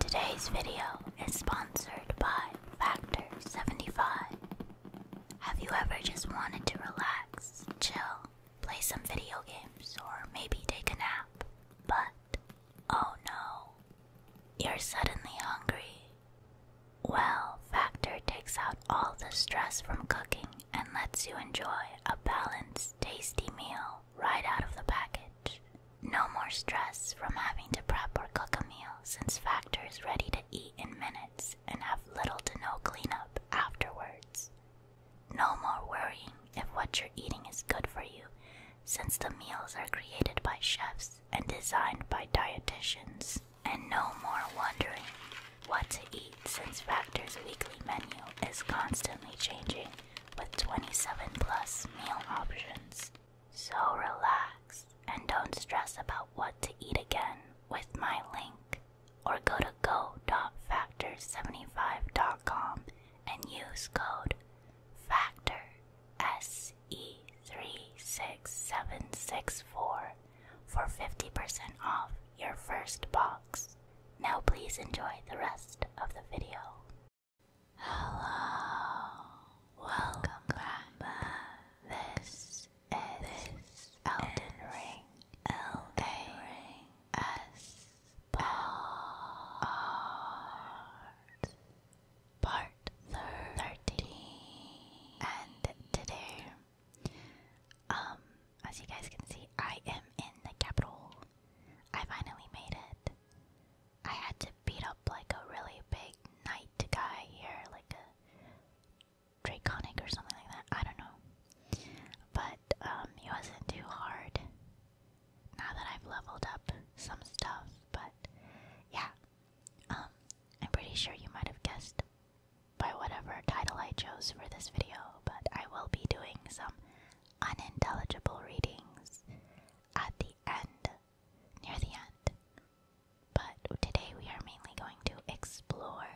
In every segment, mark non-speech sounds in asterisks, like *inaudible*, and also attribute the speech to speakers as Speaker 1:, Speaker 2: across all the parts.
Speaker 1: Today's video is sponsored by Factor 75. Have you ever just wanted to relax, chill, play some video games, or maybe take a nap? But oh no, you're suddenly hungry well, Factor takes out all the stress from cooking and lets you enjoy a balanced, tasty meal right out of the package. No more stress from having to prep or cook a meal since Factor is ready to eat in minutes and have little to no cleanup afterwards. No more worrying if what you're eating is good for you since the meals are created by chefs and designed by dietitians. And no more wondering what to eat since Factor's weekly menu is constantly changing with 27 plus meal options. So relax and don't stress about what to eat again with my link or go to go.factor75.com and use code FACTOR SC E36764 for 50% off your first box. Now please enjoy the rest of the video. Hello, welcome, back. This is Elden Ring. Elden part 13 and today um as you guys can see I am in the capital I finally made it I had to beat up like a really big knight guy here like a draconic or something like that I don't know but um he wasn't too hard now that I've leveled up some stuff but yeah um, I'm pretty sure you might have guessed by whatever title I chose for this video, but I will be doing some unintelligible readings at the end, near the end. But today we are mainly going to explore.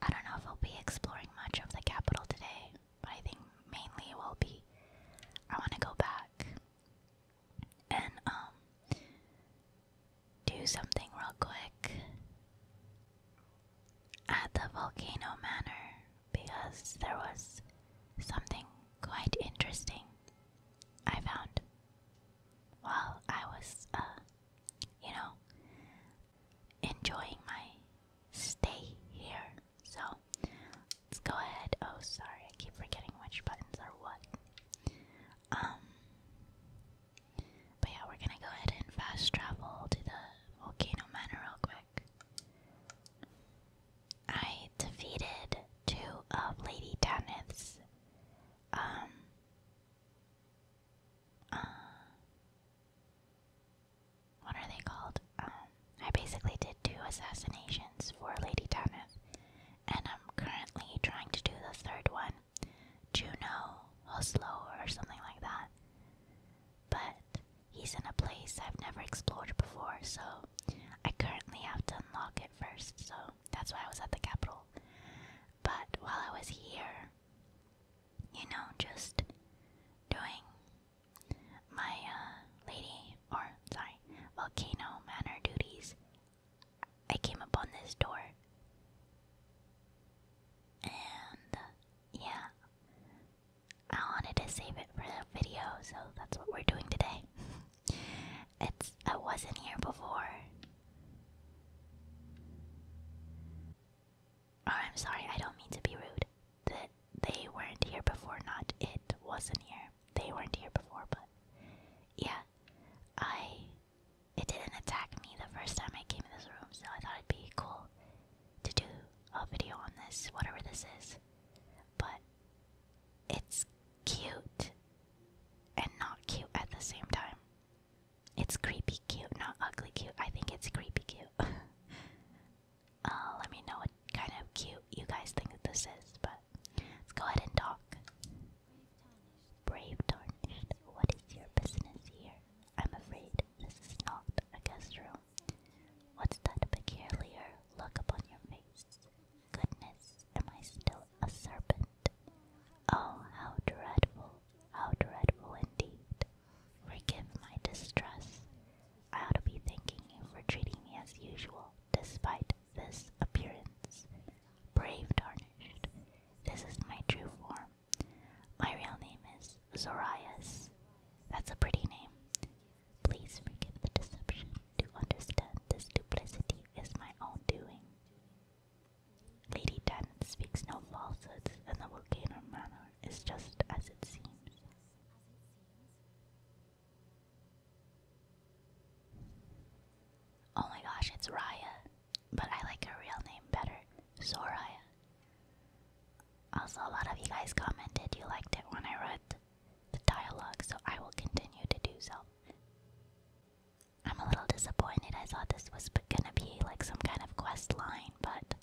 Speaker 1: I don't know if we'll be exploring much of the capital today, but I think mainly we'll be. I want to go back and um do something real quick at the volcano manor because there was something quite interesting I found while I was uh you know enjoying my stay here. So let's go ahead. Oh, sorry, I keep forgetting which buttons are what. Um, but yeah, we're gonna go ahead and fast travel to the Volcano Manor real quick. I defeated two of Lady Tanith's, um, uh, what are they called? Um, I basically did two assassinations for Lady Tanith, and I'm currently trying to do the third one, Juno, Oslo, or something like that. But he's in a place I've never explored before, so I currently have to unlock it first, so that's why I was at the capital. But while I was here, you know, just doing my uh, lady, or sorry, volcano manner duties, I came upon this door. And yeah, I wanted to save it for the video, so that's what we're doing today. *laughs* it's I wasn't here before. Oh, I'm sorry, I don't mean to be rude. That they weren't here before, not it wasn't here. They weren't here before, but yeah, I it didn't attack me the first time I came in this room, so I thought it'd be cool to do a video on this, whatever this is. But it's cute and not cute at the same time. It's creepy cute, not ugly cute. I think it's creepy cute. *laughs* Uh, let me know what kind of cute you guys think this is, but let's go ahead and talk. Brave Tarnished, what is your business here? I'm afraid this is not a guest room. What's that peculiar look upon your face? Goodness, am I still a serpent? Oh, how dreadful, how dreadful indeed. Forgive my distress. I ought to be thanking you for treating me as usual, despite this appearance. Brave Tarnished. This is my true form. My real name is Zorias. That's a pretty name. Please forgive the deception. To understand this duplicity is my own doing. Lady Tan speaks no falsehoods, and the volcano manner is just as it seems. Oh my gosh, it's Raya, but I like her real name better, Soraya. Also, a lot of you guys commented you liked it when I read the dialogue, so I will continue to do so. I'm a little disappointed. I thought this was gonna be like some kind of quest line, but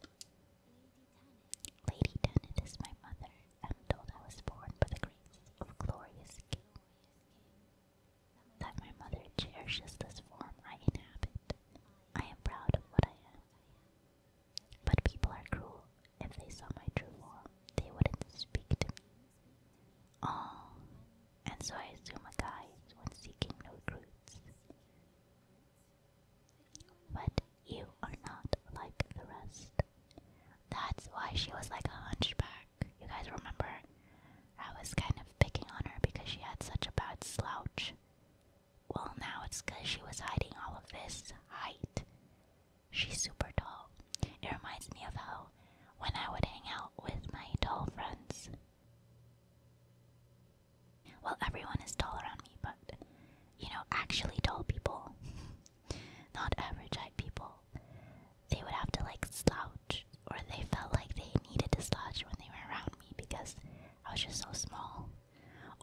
Speaker 1: Lady Tennant is my mother. I'm told I was born by the grace of glorious king that my mother cherishes this form I inhabit. I am proud of what I am. But people are cruel. If they saw my true form, they wouldn't speak to me. Oh, and so I assume a guise when seeking no truths. But you are not like the rest. That's why she was like a hunchback. You guys remember? I was kind of picking on her because she had such a bad slouch. Well, now it's because she was hiding all of this height. She's super tall. It reminds me of how when I would hang out with my tall friends. Well, everyone is tall around me, but you know, actually tall people. *laughs* Not average height people they would have to like slouch, or they felt like they needed to slouch when they were around me because I was just so small.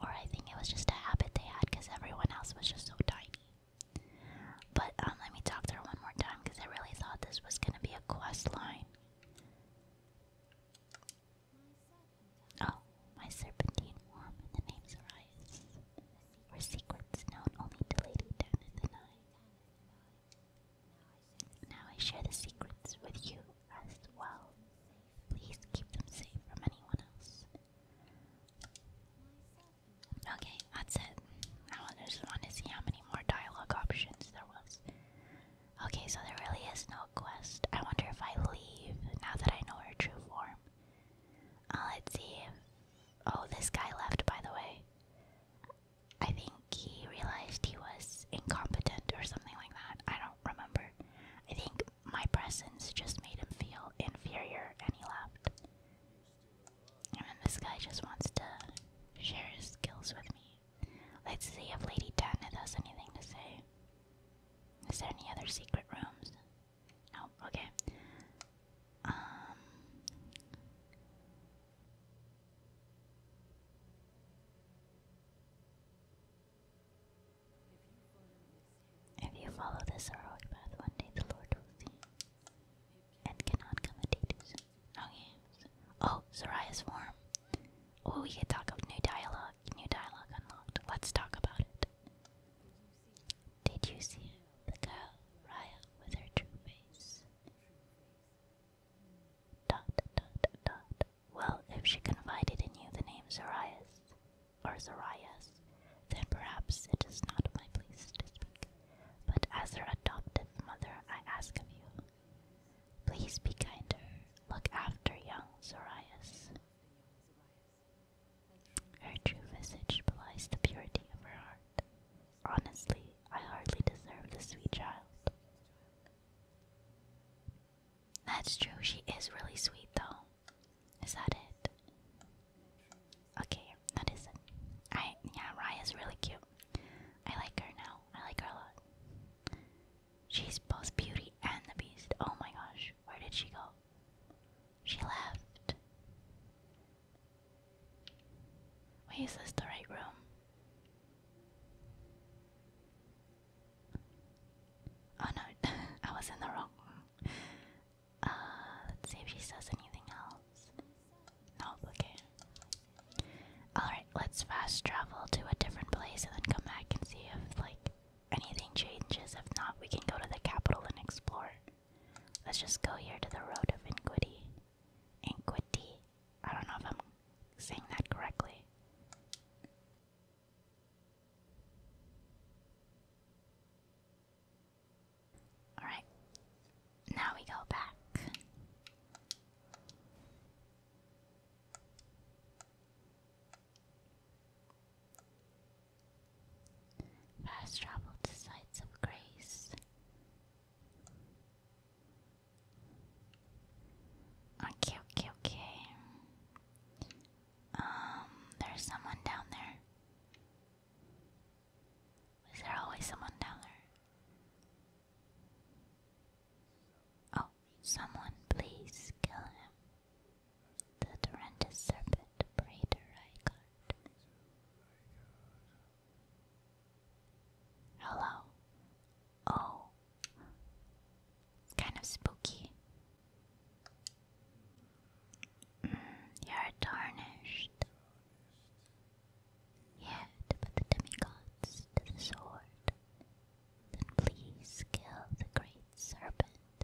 Speaker 1: Or I think it was just a habit they had because everyone else was just so tiny. But um, let me talk to her one more time because I really thought this was gonna be a quest line. Oh, my serpentine warm and the names arise. Where secrets known only to Lady Tanith and I. Now I share the secrets with you as well. Please keep them safe from anyone else. Okay, that's it. Now I just want to see how many more dialogue options there was. Okay, so there really is no quest. I wonder if I leave now that I know her true form. Uh, let's see. Oh, this guy left, by the way. I think he realized he was incompetent or something like that. I don't remember. I think my presence just made him feel inferior and he left. And then this guy just wants to share his skills with me. Let's see if Lady Tanith has anything to say. Is there any other secret rooms? No, okay. Um if you follow this heroic path, one day the Lord will see and cannot come a Okay. Oh, Soraya's form. Oh, we can talk about new dialogue. New dialogue unlocked. Let's talk about it. Did you see The girl, Raya, with her true face. Dot, dot, dot. Well, if she confided in you the name Zarias, or Zarias, then perhaps it is not my place to speak. But as her adopted mother, I ask of you, please be kinder, Look after young Zarias. Her true visage belies the purity of her heart. Honestly, I hardly deserve the sweet child. That's true, she is really sweet though. Is that it? Okay, that is it. I yeah, Raya's really cute. I like her now. I like her a lot. She's both beauty and the beast. Oh my gosh, where did she go? She left. Wait, is this the right room? Oh no, *laughs* I was in the wrong uh, let's see if she says anything else. Nope, okay. Alright, let's fast travel to a different place and then come back and see if, like, anything changes. If not, we can go to the capital and explore. Let's just go here to the Road of Iniquity. Iniquity. I don't know if I'm saying that correctly. Alright, now we go back. Fast travel to sites of grace. Okay, okay, okay. Um, there's someone down there. Is there always someone down there? Oh, someone, please kill him. The Durentus Serpent Breeder Rygarde. Hello. Oh. It's kind of spooky. Mm, you're tarnished. Yet, but the demigods to the sword. Then please kill the great serpent.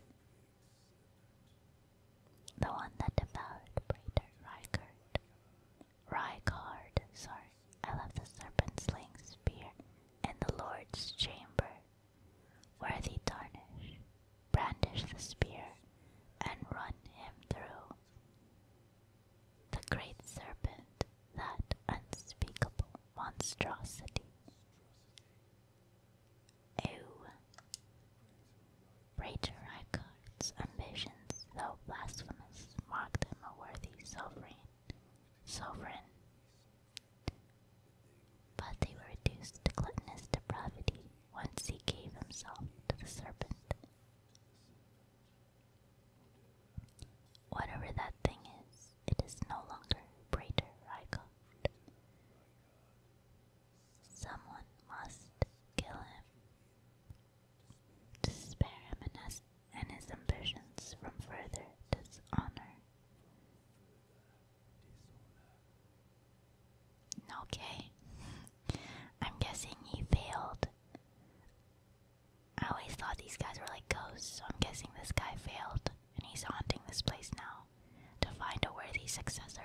Speaker 1: The one that devoured Praetor Rykard. Rykard, sorry, I left the serpent slaying spear in the Lord's chamber. Worthy tarnish, brandish the spear and run him through. The great serpent, that unspeakable monstrosity. Ew. Rachel Reichardt's sins, though blasphemous, mocked him a worthy sovereign. Sovereign. But they were reduced to gluttonous depravity once he gave himself to the serpent. Whatever that thing is, it is no longer greater I Someone must kill him to spare him and his, ambitions from further dishonor. Okay. *laughs* I'm guessing he failed. I always thought these guys were like ghosts, so I'm guessing this guy failed and he's haunting this place now to find a worthy successor.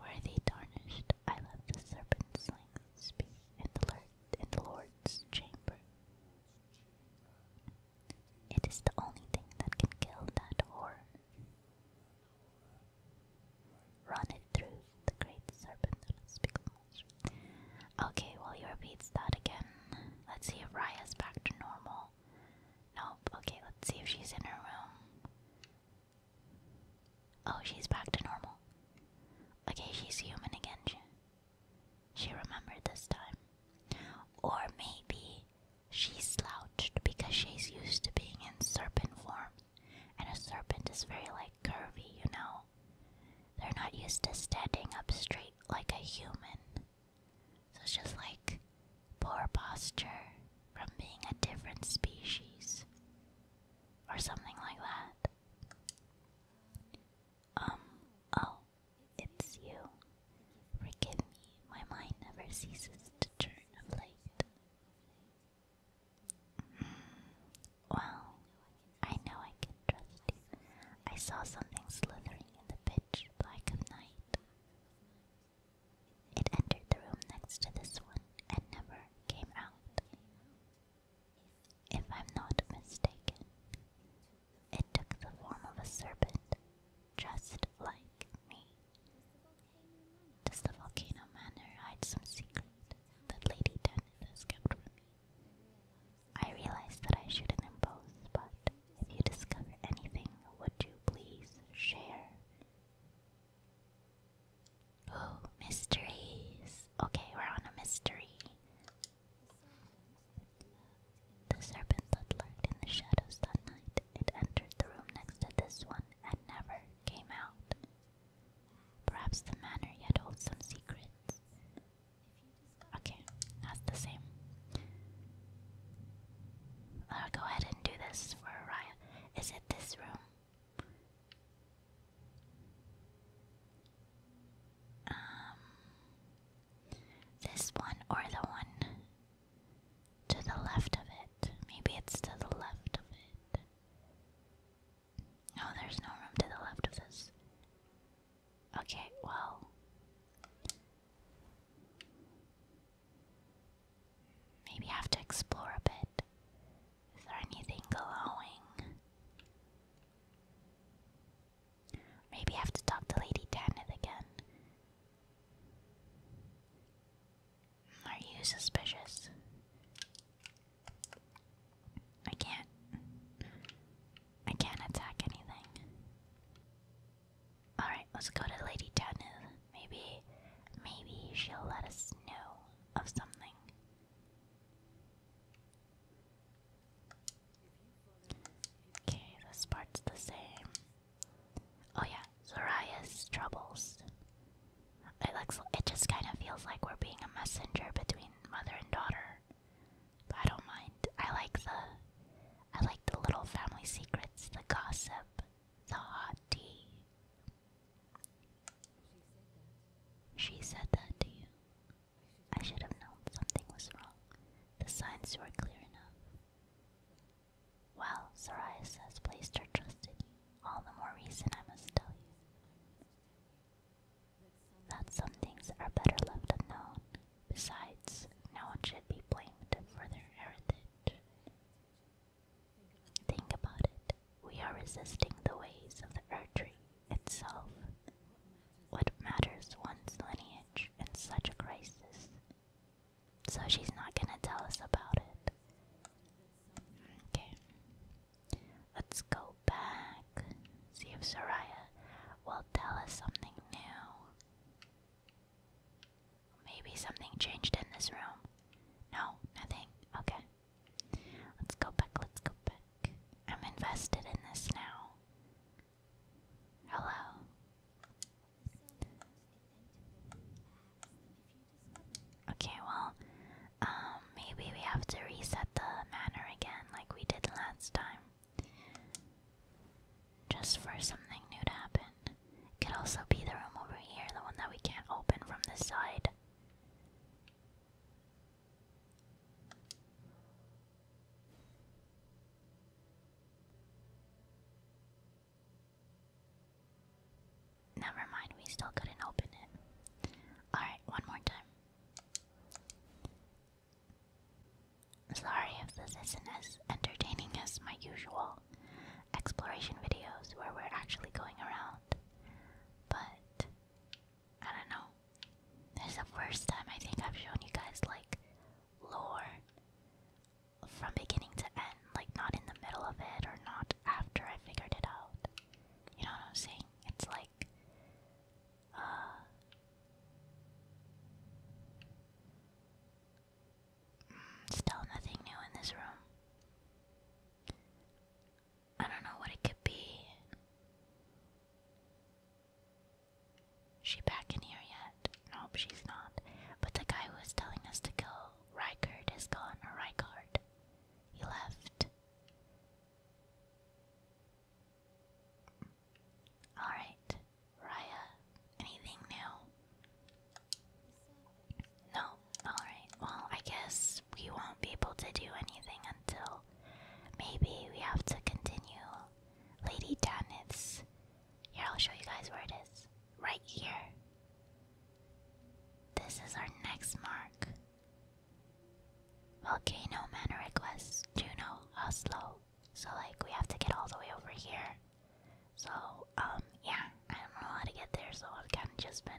Speaker 1: Worthy tarnished, I love the serpent's length, speak and alert in the Lord's chamber. It is the only thing that can kill that horror. Run it through the great serpent of unspeakable monster. Okay, well he repeats that again. Let's see if Raya's back to normal. Nope, okay, let's see if she's in her room. Oh, she's back to normal. Okay, she's human again. She, remembered this time. Or maybe she slouched because she's used to being in serpent form. And a serpent is very like curvy, you know? They're not used to standing up straight like a human. So it's just like poor posture from being a different species. Or something like that. Um, oh, it's you. Forgive me, my mind never ceases to turn of late. Mm, well, I know I can trust you. I saw something slithering in the pitch black of night. It entered the room next to this one and never came out. If I'm not mistaken, it took the form of a serpent, just like me. Does the volcano manor hide some secret that Lady Dennis kept from me? I realize that I shouldn't impose, but if you discover anything, would you please share? Oh, *gasps* mysteries. Okay, we're on a mystery. The serpent that in the shadows that night, it entered the room next to this one and never came out. Perhaps the manor yet holds some secrets. Okay, that's the same. I'll go ahead and do this for Raya. Is it this room? Um, this one or the one to the left of it. Maybe it's to the left of it. No, there's no room to the left of this. Okay, well. Maybe I have to explore a bit. Is there anything glowing? Maybe I have to talk to Lady Tanith again. Are you suspicious? I can't. I can't attack anything. Alright, let's go to Lady Tanith. Maybe. Maybe she'll let us know of something. Okay, this part's the same. Oh yeah, Zoraya's troubles. It looks. It just kind of feels like we're being a messenger between mother and daughter. But I don't mind. I like the. I like the little family secrets, the gossip, the hot tea. She said that to you. I should have known something was wrong. The signs were clear enough. Well, Sarias has placed her trust in you. All the more reason I must tell you that some things are better left unknown. Besides, no one should be blamed for their heritage. Think about it we are resisting the ways of the earth tree itself. What matters one's lineage in such a crisis? So she's not gonna tell us about it. Okay. Let's go back. See if Soraya will tell us something new. Maybe something changed in this room. No, nothing. Okay. Let's go back, let's go back. I'm invested in this now. Hello. Okay, well, um, maybe we have to reset the manor again like we did last time. Just for something new to happen. could also be the room over here, the one that we can't open from the side. Never mind, we still couldn't open it. Alright, one more time. Sorry if this isn't as entertaining as my usual exploration videos where we're actually going around, but I don't know. This is the first time I think I've shown you guys like lore from beginning to end, like not in the middle of it or not after I figured it out. You know what I'm saying? It's like uh, mm, Still nothing new in this room. I don't know what it could be. she back in here yet? Nope, she's not. But the guy who was telling us to go, Rykard, is gone, or He left. Alright, Raya, anything new? No, alright, well, I guess we won't be able to do anything until maybe we have to continue. Lady Janet's. Here, I'll show you guys where it is. Right here. This is our next mark. Volcano Man requests Juno, Oslo. So, like, we have to get all the way over here. So, um, yeah, I don't know how to get there, so I've kind of just been.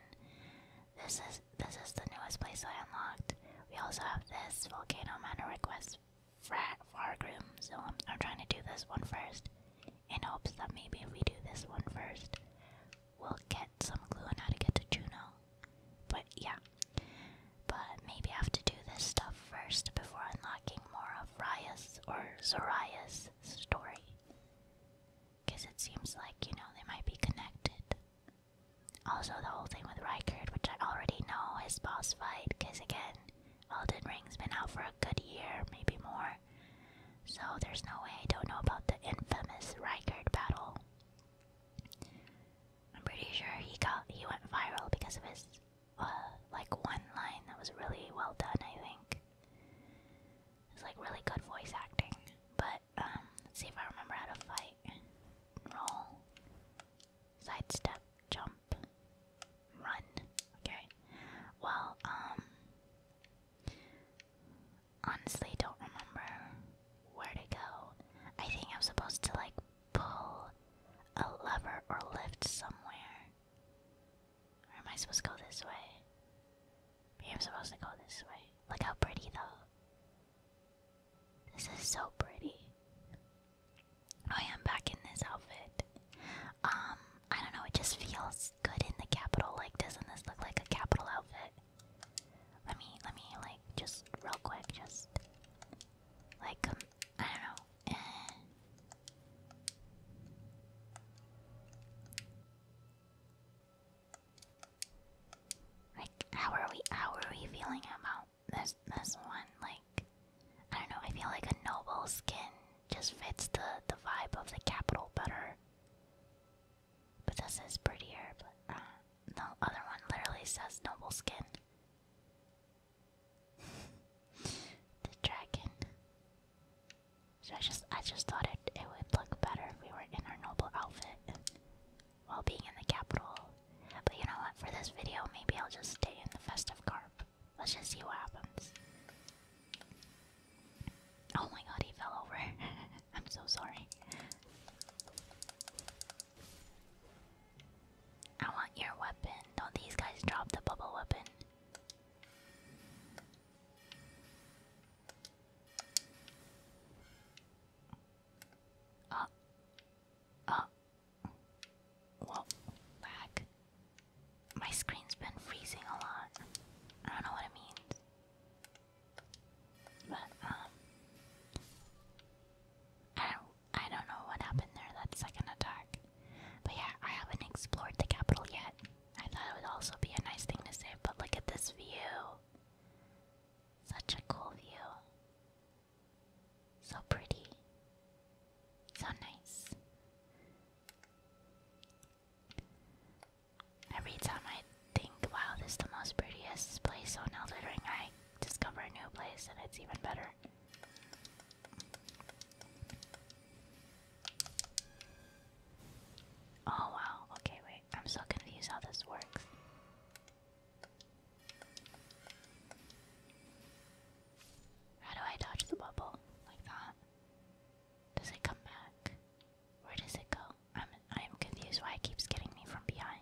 Speaker 1: This is this is the newest place I unlocked. We also have this volcano manor request frat far room, so I'm, trying to do this one first, in hopes that maybe if we do this one first, we'll get some clue on how to get to Juno. But yeah, but maybe I have to do this stuff first before unlocking more of Rias or Soraya's story, because it seems like you know they might be connected. Also, the whole thing with Rykard, which I already know is boss fight, because again, Elden Ring's been out for a good year, maybe more. So there's no way I don't know about the infamous Rykard battle. I'm pretty sure he got he went viral because of his uh, like one line that was really well done. I think it's like really good voice acting, but um, let's see if I remember how to fight. Roll, sidestep, jump, run. Okay. Well, um, honestly, don't remember where to go. I think I'm supposed to like pull a lever or lift somewhere. Or am I supposed to go this way? Maybe I'm supposed to go this way. Look how pretty though. This is so pretty. Oh, I'm back in this outfit. Um, I don't know, it just feels good in the capital. Like, doesn't this look like a capital outfit? Let me, let me, like, just real quick, just like, um, I don't know. Eh. Like, how are we? How are we feeling about this this one like I don't know. I feel like a noble skin just fits the the vibe of the capital better. But this is prettier. But uh, the other one literally says noble skin. *laughs* the dragon. So I just I just thought it it would look better if we were in our noble outfit while being in the capital. But you know what, for this video, maybe I'll just stay in the festive carp. Let's just see what happens. Oh my god, he fell over. *laughs* I'm so sorry. I want your weapon. Don't these guys drop the bubble weapon? Oh, uh. Whoa. Lag. My screen's been freezing a lot. I don't know what it means. But, um. I I don't know what happened there, that second attack. But yeah, I haven't explored the capital yet. I thought it would also be a nice thing to say, but look at this view. Such a cool view. So pretty. So nice. Every time I think, wow, this is the most prettiest place on Elder Ring, I discover a new place and it's even better. Oh wow, okay, wait, I'm so confused how this works. How do I dodge the bubble like that? Does it come back? Where does it go? I'm I'm confused why it keeps getting me from behind.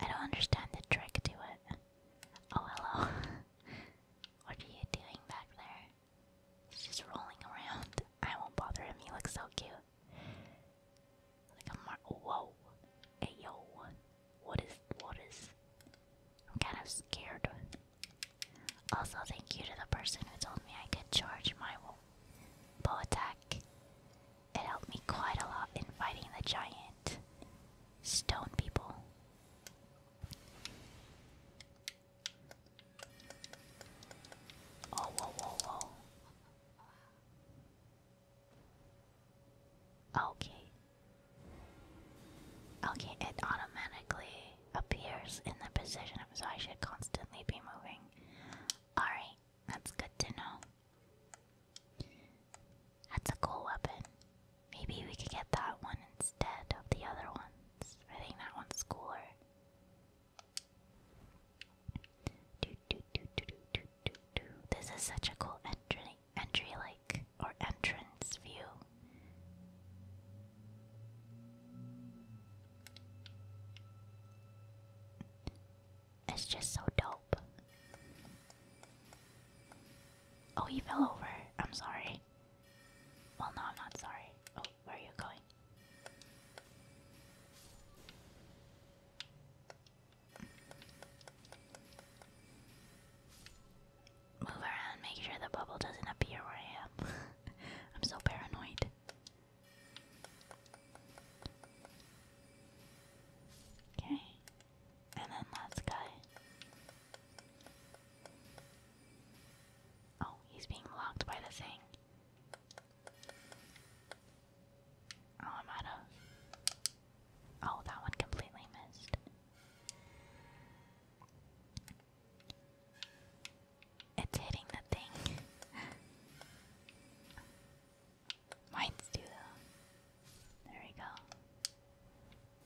Speaker 1: I don't understand the trick to it. Oh hello. *laughs* what are you doing back there? just rolling around. I won't bother him, he looks so cute. Like a mar- whoa. Hey yo. What is, what is? I'm kind of scared. Also, thank you to the person who told me I could charge my bow attack. It helped me quite a lot in fighting the giant stone people. Oh, whoa, whoa, whoa. Okay. Okay, it automatically appears in the position, so I should constantly be moving. Alright, that's good to know. That's a cool weapon. Maybe we could get that one instead of the other ones. I think that one's cooler. This is such a cool entry, entry like, or entrance view. It's just so dope. Oh, he fell over. I'm sorry. Well, no, I'm not sorry. Oh, where are you going? Move around, make sure the bubble doesn't appear where I am. *laughs* I'm so paranoid. Okay. And then last guy. Oh, he's being blocked by the thing. Oh, I'm out of. Oh, that one completely missed. It's hitting the thing. *laughs* Mine's too, though. There we go.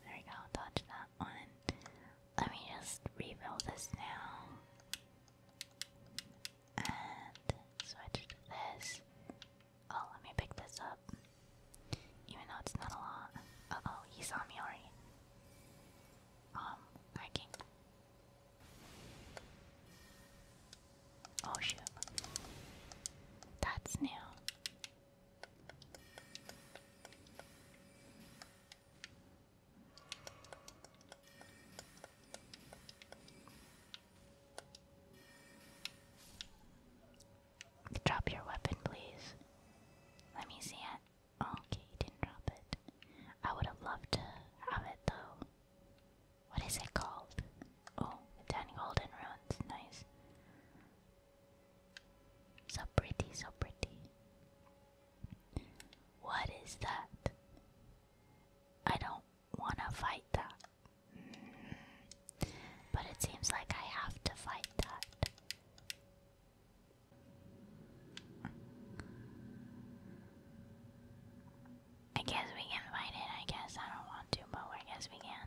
Speaker 1: There we go. Dodge that one. Let me just rebuild this now. And switch to this. Oh, let me pick this up. Even though it's not a lot. Uh oh, he saw me already. Um, I can. Oh shoot. That's new. Drop your weapon, please. Let me see it. Okay, you didn't drop it. I would have loved to have it though. What is it called? Oh, ten golden runes. Nice. So pretty, so pretty. What is that? I don't want to fight that. But it seems like I have to fight that. I guess we can fight it, I guess. I don't want to, but I guess we can.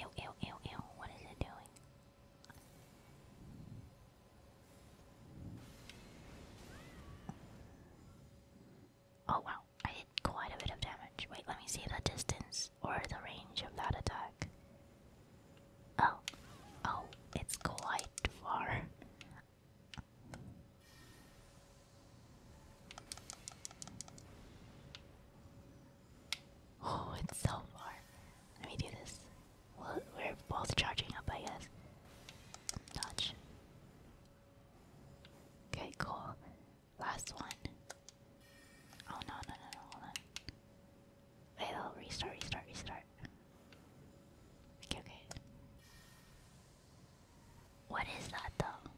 Speaker 1: Ew, ew, ew, ew. What is it doing? Oh wow. I did quite a bit of damage. Wait, let me see the distance or the range of that attack. Oh, oh, it's quite far. *laughs* Oh, it's so far. Let me do this. Well, we're both charging up, I guess. Dodge. Okay, cool. Last one. Oh no, no, no, no, hold on. Wait, restart, restart, restart. Okay, What is that though?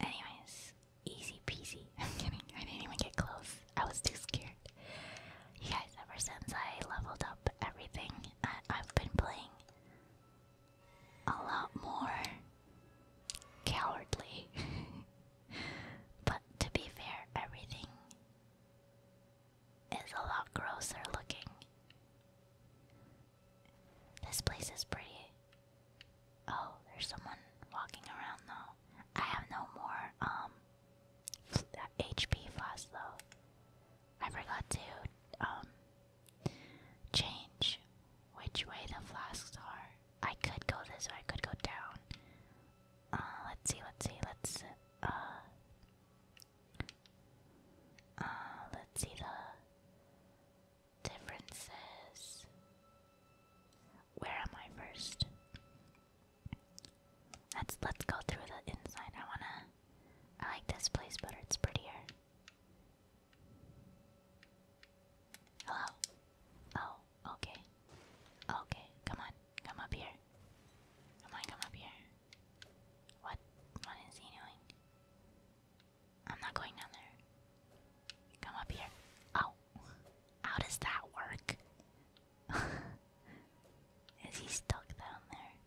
Speaker 1: Anyways, easy peasy. *laughs* I'm kidding. I didn't even get close. I was too scared. You guys, ever since I leveled up everything, I've been playing a lot more cowardly. *laughs* but to be fair, everything is a lot grosser looking. This place is pretty. Oh, there's someone walking around though. I have no more um HP flask though. I forgot to um Change which way the flasks are. I could go this way, I could go down. Uh, let's see, let's see, let's, uh, uh, let's see the differences. Where am I first? Let's let's go through the inside. I wanna. I like this place, but it's prettier. Hello? Oh, okay. Okay, come on. Come up here. Come on, come up here. What? What is he doing? I'm not going down there. Come up here. Oh. How does that work? *laughs* is he stuck down there?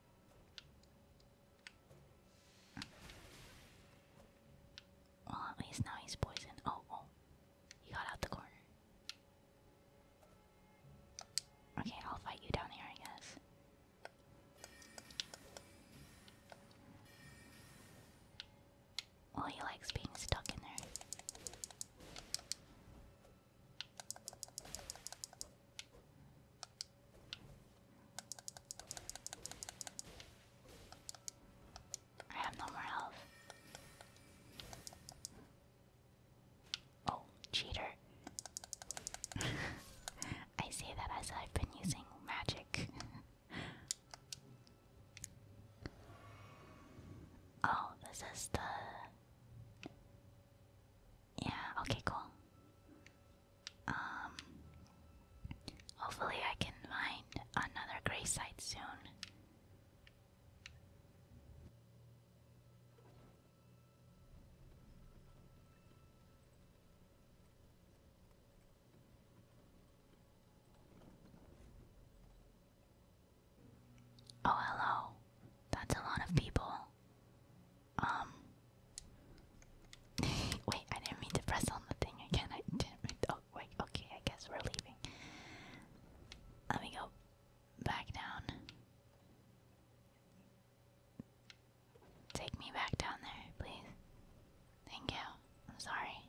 Speaker 1: Well, at least now he's poisoned. Oh, oh. He got out the corner. Okay, I'll fight you down here, I guess. Well, he likes being stuck in there. I have no more health. Oh, cheater. *laughs* I say that as I've been using magic. *laughs* oh, this is the. Yeah, okay, cool. Um, hopefully, I can find another gray site soon. Oh, hello. That's a lot of people. Um. *laughs* wait, I didn't mean to press on the thing again. I didn't mean to. Oh, wait, okay, I guess we're leaving. Let me go back down. Take me back down there, please. Thank you. I'm sorry.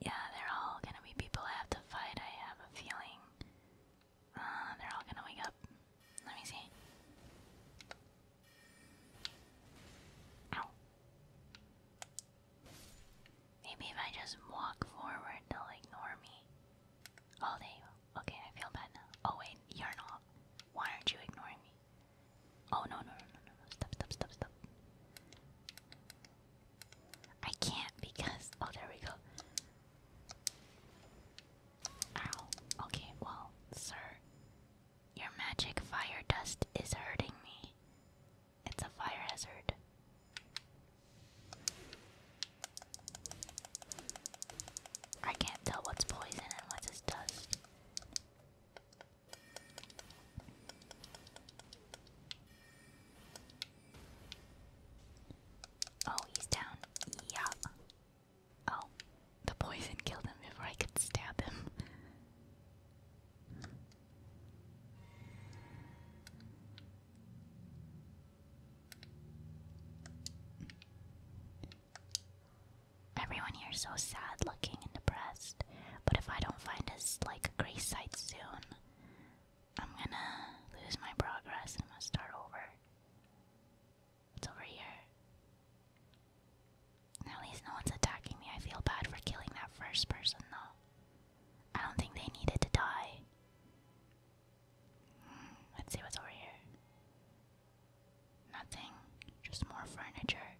Speaker 1: Yeah, they're all gonna be people I have to fight, I have a feeling. Uh, they're all gonna wake up. Let me see. Maybe if I just walk forward, they ignore me. Oh, they. Okay, I feel bad now. Oh, wait, you're not. Why aren't you ignoring me? Oh, no, no, no, no, no. Stop, stop, stop, stop. I can't because oh there we go. Ow. Okay, well, sir. Your magic fire dust is hurting me. It's a fire hazard. I can't tell what's poison and what's dust. Oh, he's down. Yup. Oh, the poison killed him before I could stab him. Everyone here is so sad looking and depressed, but if I don't find us like a grace site soon, I'm gonna lose my progress I'm gonna start over. It's over here. At least no one's attacking me. I feel bad for killing that first person, though. I don't think they needed to die. Hmm, let's see what's over here. Nothing, just more furniture.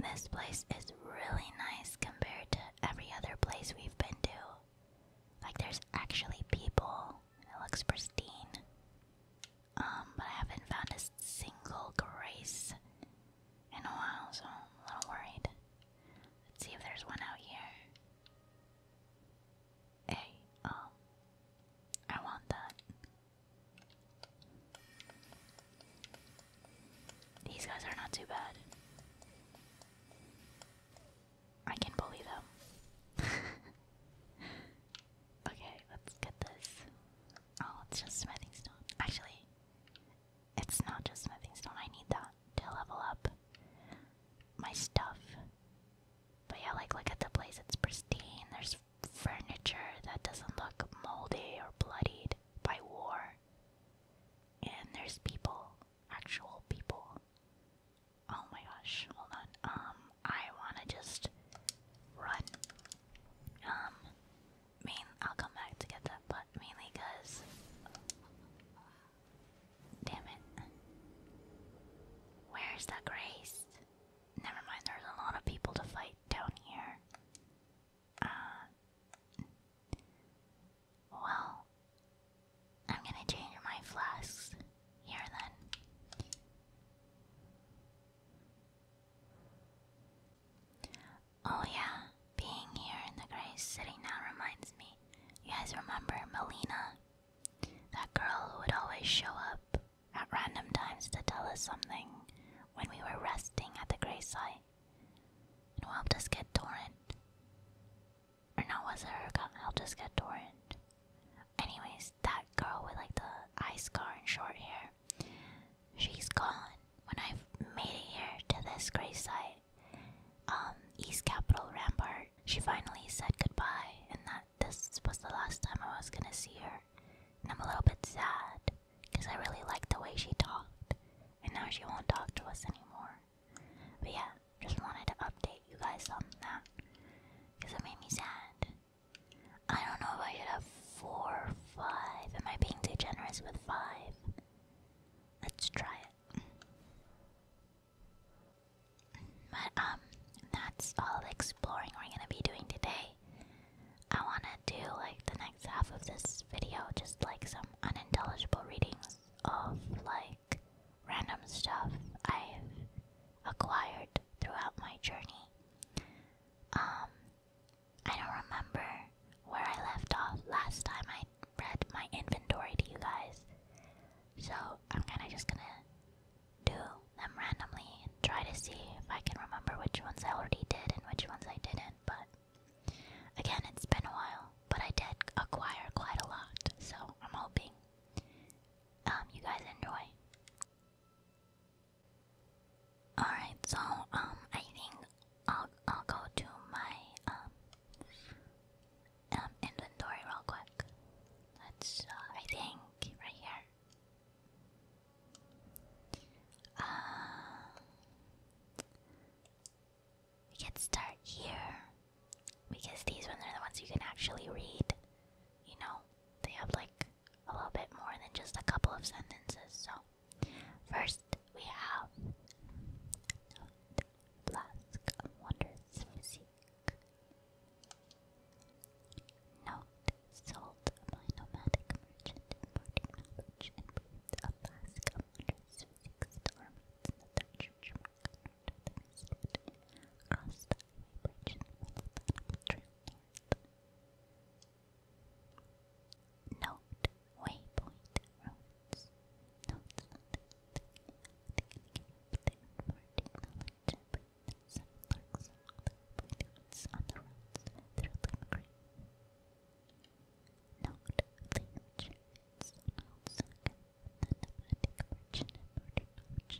Speaker 1: This place is really nice compared to every other place we've been to. Like, there's actually people, it looks pristine. Um, but I haven't found a single grace in a while, so I'm a little worried. Let's see if there's one out here. Hey, um, I want that. These guys are not too bad. I can bully them. *laughs* okay, let's get this. Oh, it's just smithing stone. Actually, it's not just smithing stone. I need that to level up my stuff. But yeah, like look at the place. It's pristine. There's furniture that doesn't look moldy or bloodied by war and there's people, actual people. Oh my gosh, hold on. Um, I wanna just run. Um, main I'll come back to get that, but mainly because damn it. Where's the grace? Never mind, there's a lot of people to fight down here. Uh, well, I'm gonna change my flasks here then. Oh yeah, being here in the grave sitting now reminds me. You guys remember Melina? That girl who would always show up at random times to tell us something when we were resting at the gray site and who helped us get Torrent. Or no, was it her who helped us get Torrent? Anyways, that girl with like the eye scar and short hair, she's gone. When i made it here to this gray site, um, East Capital Rampart, she finally said goodbye, and that this was the last time I was gonna see her. And I'm a little bit sad because I really liked the way she talked, and now she won't talk to us anymore. But yeah, just wanted to update you guys on that because it made me sad. I don't know if I should have four or five. Am I being too generous with five? Let's try it. But um, that's all the exploring we're gonna be doing today. I wanna do like the next half of this video, just like some unintelligible readings of like random stuff I've acquired throughout my journey. Um, I don't remember where I left off last time I read my inventory to you guys, so I'm kinda just gonna do them randomly and try to see if I can remember which ones I already did and which ones I didn't, but Again, it's been a while, but I did acquire quite a lot, so I'm hoping um, you guys enjoy. Alright, so um, I think I'll, I'll go to my um, um inventory real quick. That's, uh, I think, right here. Uh, we can start here because these ones are the ones you can actually read. You know, they have like a little bit more than just a couple of sentences. So, first we have Flask of Wondrous Physique. Note nomadic merchant importing knowledge the Alaska Waters six storms in the Dutch Jamaica to the eastward, across the highway bridge in the middle of the trail north. Note waypoint roads. Notes on the thing the some lurks and other points on the roads through the green. Note the achievements on second, the nomadic merchant and murder coach.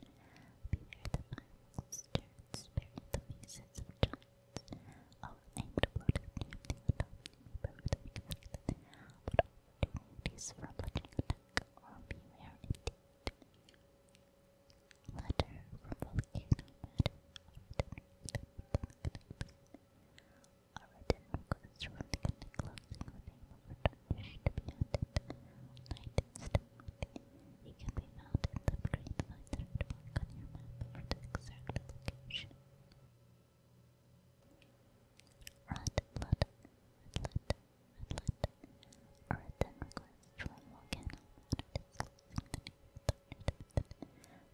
Speaker 1: Beware the miles, turns, bury the faces of giants. All named bloated near the adult neighborhood infected, but opportunities for lodging attack or beware indeed. Letter from Volcano Mad, a return to the our written request for the connect closing the name to be added on iTunes can be found in the green lines on your map for the exact location. Rat, blood, atlet, atlet. Our written request from Volcano Matter disclosing the name to be added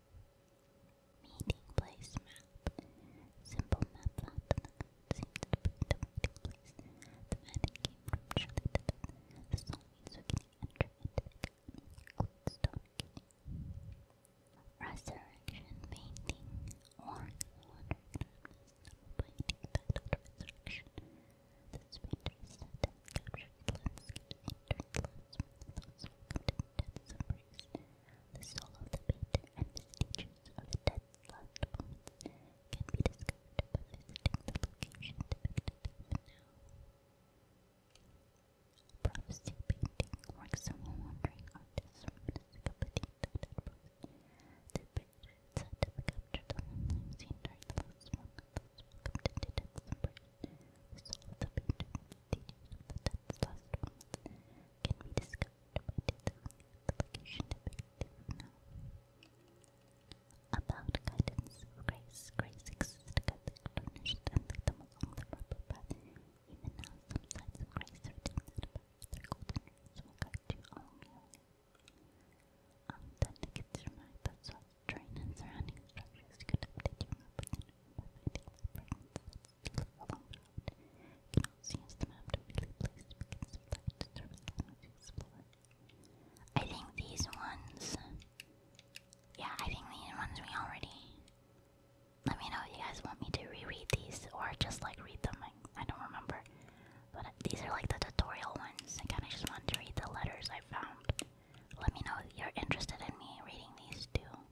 Speaker 1: Meeting place map. Simple map laptop seems to the meeting place. The man who came from Chile The zombies who can enter into the company include Stone King. Resurrection painting or water painting titled Resurrection. This painter is set and captures the landscape and turns landsmen and death embrace, the soul of the painter and vestiges of the dead's last moments can be discovered by visiting the location depicted even now. Prophecy painting works on wandering artists from the Cyclopedia to Deadpool. is said to have captured the moonlight scene during the last month of those welcomed into The soul of the painter that's can be discovered by the location of now. About guidance grace, grace exists to guide and lead them along the Even now, some signs of grace are redeemed that their golden rings will you along Um, the kids remarked that soft terrain and surrounding structures could update your map I think these ones. Yeah, I think these ones we already. Let me know if you guys want me to reread these or just like read them. I, I don't remember. But these are like the tutorial ones. I kind of just wanted to read the letters I found. Let me know if you're interested in me reading these too.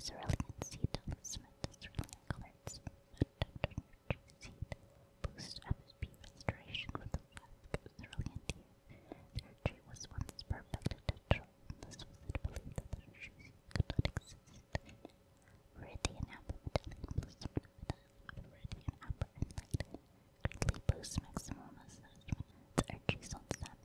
Speaker 1: Cerulean Seed Smith, Cerulean Colored Smith, Seed, Boost FSP Restoration with the Flask Cerulean Tear. Their tree was once perfect and natural, and was believed that their could not exist. Meridian Apple Medallion plus Medallion Apple and Light greatly boosts maximum assessment. The Archie sold Sammy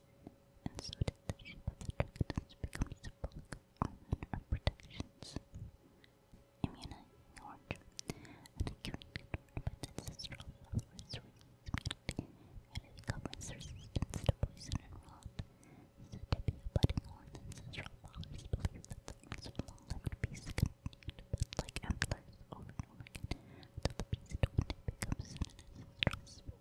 Speaker 1: and so the shape of the tractants becomes a book of protections. Immunizing orange, an acute controlled by the ancestral immunity, and it governs resistance to poison and rot. So Debbie, a budding ancestral flowers believe that the arms of long-lived beasts continue like antlers over and over again until the beast one day becomes an ancestral spirit.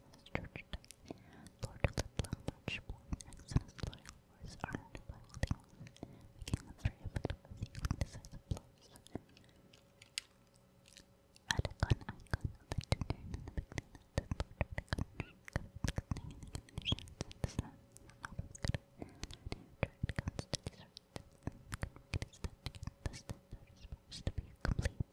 Speaker 1: this church does. Lord Litlow, much more loyal horse, armed by holding making them very effective at dealing decisive blows. Radicon Icon, a legendary in the beginning of the Lord Radicon, covered in the conditions of the sun, out of good, and comes to these rights, and can make it a step to get the step that is supposed to be complete.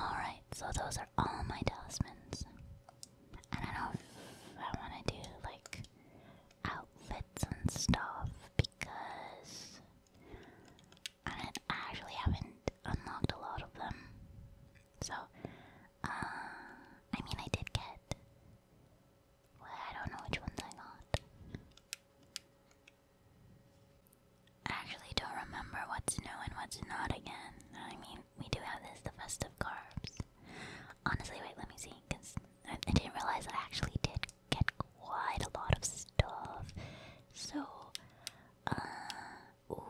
Speaker 1: Alright, so those are all my talismans. And I know I want to do like outfits and stuff because I actually haven't unlocked a lot of them. So, uh, I mean, I did get. I don't know which ones I got. I actually don't remember what's new and what's not again. I mean, we do have this, the festive carbs. Honestly, wait, let me see, because I, didn't realize I actually did get quite a lot of stuff. So, uh, ooh.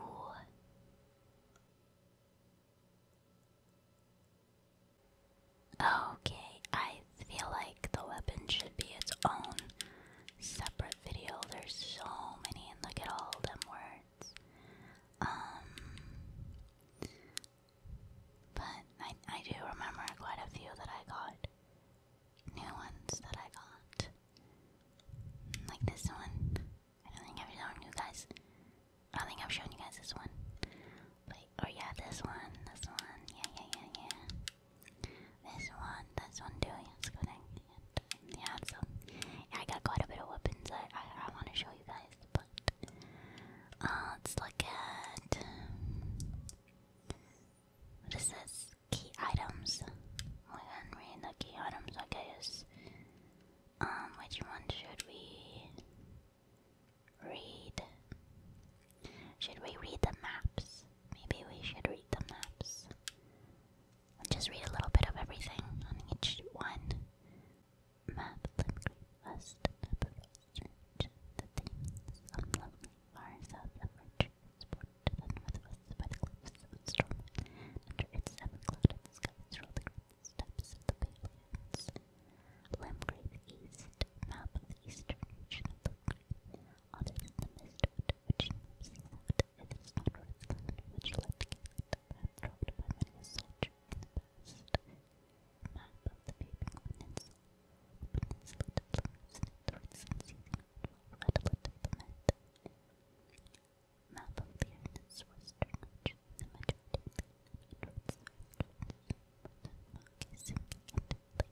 Speaker 1: Okay, I feel like the weapon should be its own separate video. There's so many, and look at all them words. Um, but I I do remember quite a few that I got, new ones that I got, like this one. I don't think I've shown you guys. I don't think I've shown you guys this one. Wait, oh yeah, this one, this one, yeah, yeah, yeah, yeah. This one, this one too, yes, good thing. And, yeah, so, yeah, I got quite a bit of weapons I, I want to show you guys, but, uh, let's look at, what is this? Key items. We can read the key items, I guess. Um, which one should we read? Should we read the maps? Maybe we should read the maps. just read a little bit of everything on each one. Map, west, number street, the themes of far south of our transport to the northwest by the cliffs of storm. its seven clouded skies roll the great steps of the East, map of the eastern region of the Green other than the mist which seems out, it is not worth which left Caled bankrupt by many a soldier in the past. Map of the Vaping Peninsula. The peninsula declines in its roots and seething outfall redolent the mint. Map of the island's western region, the majority of the island roots are influenced by the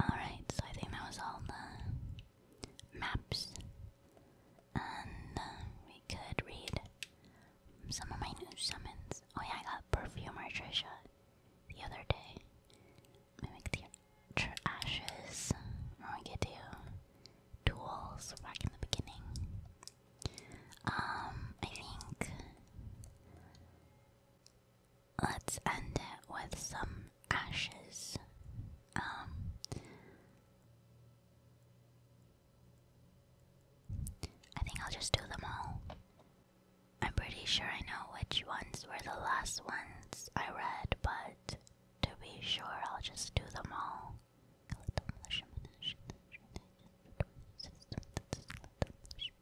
Speaker 1: Alright, so I think that was all the maps. And uh, we could read some of my new summons. Oh, yeah, I got Perfumer Trisha the other day. Mimic the Ashes. I get to tools back in the beginning. Um, I think let's end it with some ashes. I think I'll just do them all. I'm pretty sure I know which ones were the last ones I read, but to be sure, I'll just do them all.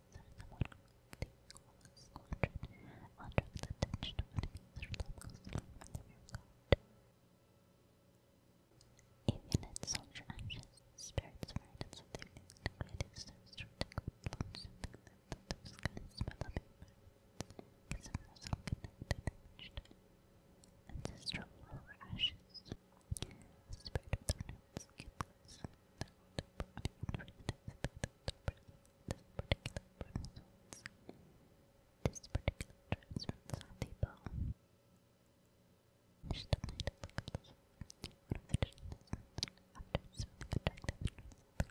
Speaker 1: Avionet soldier ashes, spirits of and something liquid is so long something that the sky smell of because it was all connected and reached. Ancestral lower ashes, spirit of the roots, this particular transference on the ball. She doesn't need to look at the one of the distance after swimming the track that the girls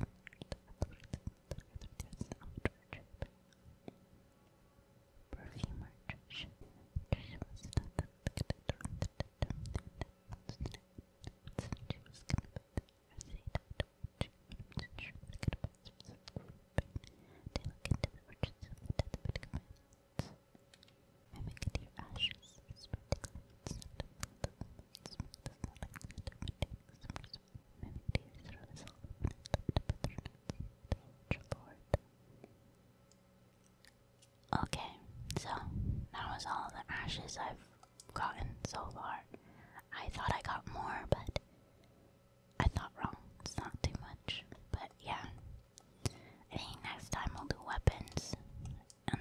Speaker 1: go on to the rest of the the rest of the trip perfume merch. She was not that she was gonna put her seat at the watch. She was gonna put some They look into the orchards of the death bed commands. Mimic could hear ashes, spreading clouds, and the smooth the smelling and fermenting summers. Mimic could hear through his hollow and left the patronage, the ultra board. Okay, so that was all the ashes I've gotten so far. I thought I got more, but I thought wrong. It's not too much, but yeah. I think next time we'll do weapons. Um,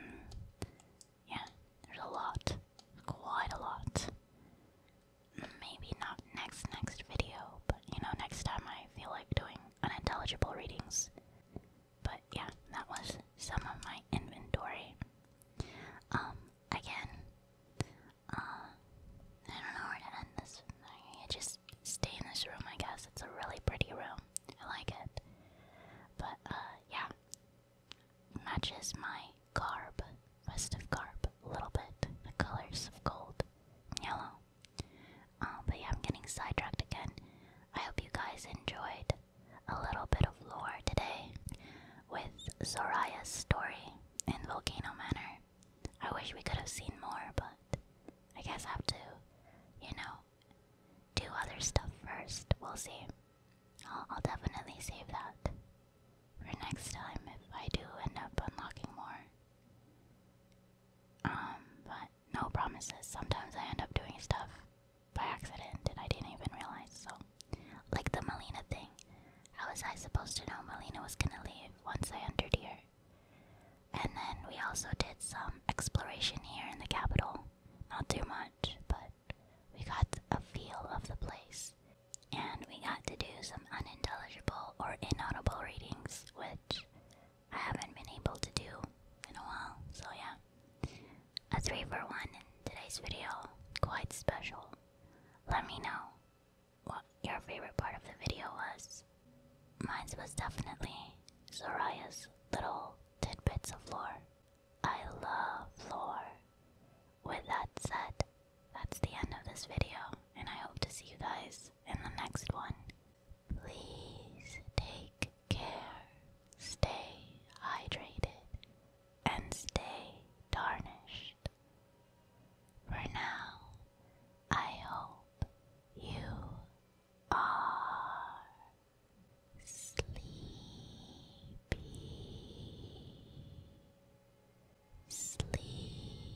Speaker 1: yeah, there's a lot. Quite a lot. Maybe not next next video, but you know, next time I feel like doing unintelligible readings. But yeah, that was some of my inventory. Um, again, uh, I don't know where to end this. I just stay in this room, I guess. It's a really pretty room. I like it. But, uh, yeah. Matches my garb, festive garb, a little bit. The colors of gold yellow. Um, but yeah, I'm getting sidetracked again. I hope you guys enjoyed a little bit of lore today with Zoraya's story in Volcano Manor. I wish we could have seen more, but I guess I have to, you know, do other stuff first. We'll see. I'll, I'll definitely save that for next time if I do end up unlocking more. Um, but no promises. Sometimes I end up doing stuff by accident and I didn't even realize. So, like the Melina thing. How was I supposed to know Melina was gonna leave once I entered here? And then we also did some exploration here in the capital. Not too much, but we got a feel of the place. And we got to do some unintelligible or inaudible readings, which I haven't been able to do in a while, so yeah. A 3 for 1 in today's video, quite special. Let me know what your favorite part of the video was. Mine was definitely Soraya's little tidbits of lore. I love lore. With that said, that's the end of this video, and I hope to see you guys in the next one. Please take care, stay hydrated, and stay tarnished. For now, I hope you are sleepy. Sleepy.